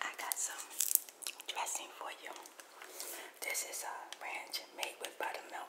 I got some dressing for you. This is a ranch made with buttermilk.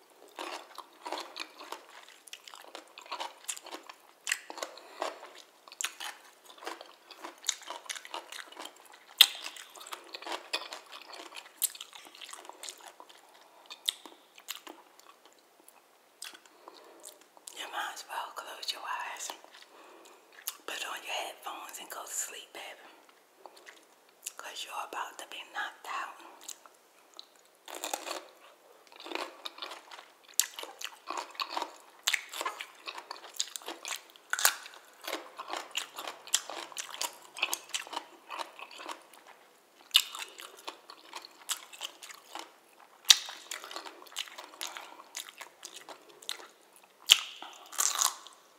You might as well close your eyes, put on your headphones, and go to sleep, baby. Because you're about to be knocked out.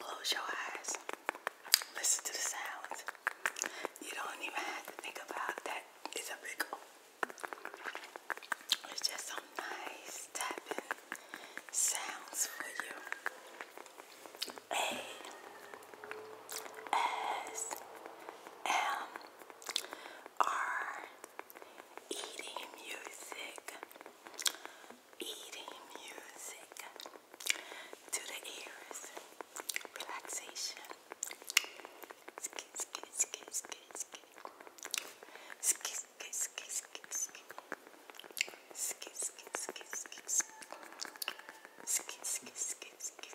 Close your eyes. Listen to the sounds. You don't even have to think about that. It's a big It's just some nice tapping sounds for you. A S M are eating music, eating music to the ears, relaxation. Skid, skid, skid, skid, skid. Skid, skid, skid, skid, skid. Skid, skid, skid, skid, skid. Skid, skid,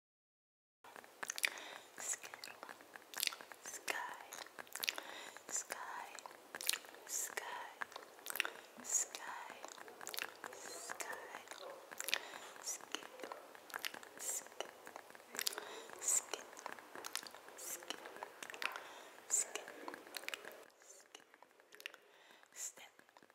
Skittle, sky, sky, sky, sky, sky, skittle, skittle, skittle, skittle, skittle, skittle, step,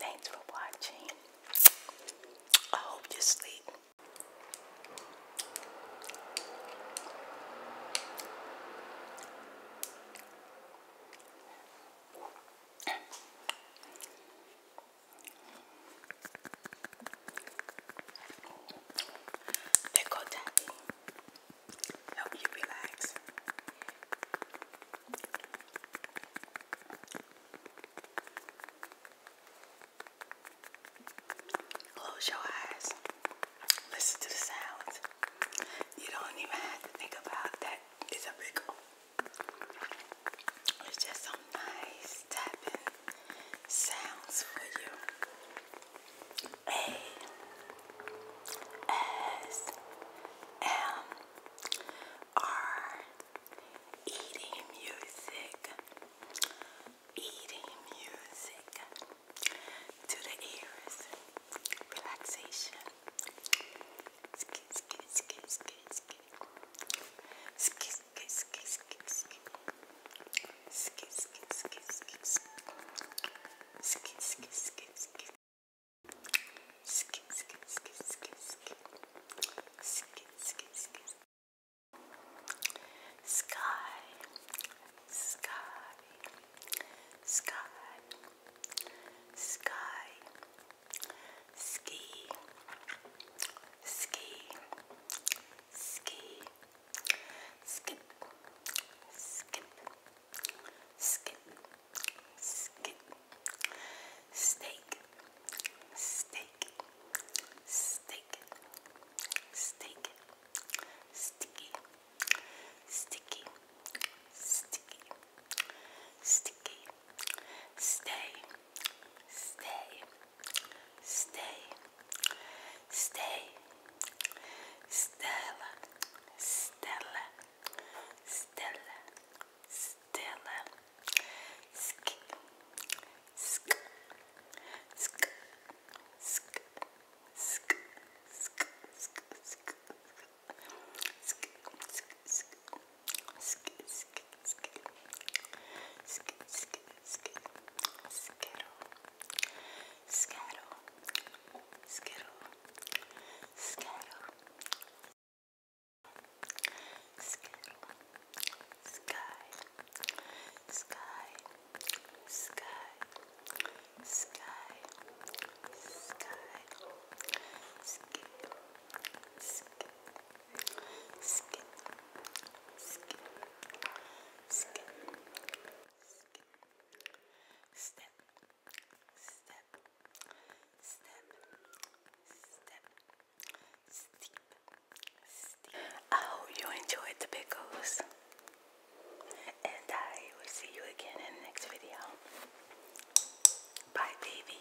Thanks for watching. I hope you sleep. They go daddy help you relax. Close your eyes. Listen to the sounds. You don't even have to think about that. It's a wiggle. It's just some nice tapping sounds for you. A S M R Eating music. Eating music to the ears. Relaxation. Skit, skit, skit, skit, skit. Skit, skit, skit, skit, skit skit, skit, skit, skit, skit, skit, skit, skit, skit. Skit, skit, skit, skit, skit. Skit, skit, skit. Sky, sky, sky, sky, ski, ski, ski, skip, skip, skip, skip, steak, steak, steak, steak, sticky, sticky, sticky, sticky, stay, stay, stay. Stay, Stella, Stella, Stella, Stella, Sk, Sk, Sk, Sk, Sk, Sk, Sk, Sk, Sk, Sk, Sk, Sk, Sk, Sk, Sk, skittle, skittle, skittle, skittle, skittle, skittle, sky, sky, sky, sky, sky, skittle, skittle. Skittle, I hope you enjoyed the pickles, and I will see you again in the next video. Bye, baby.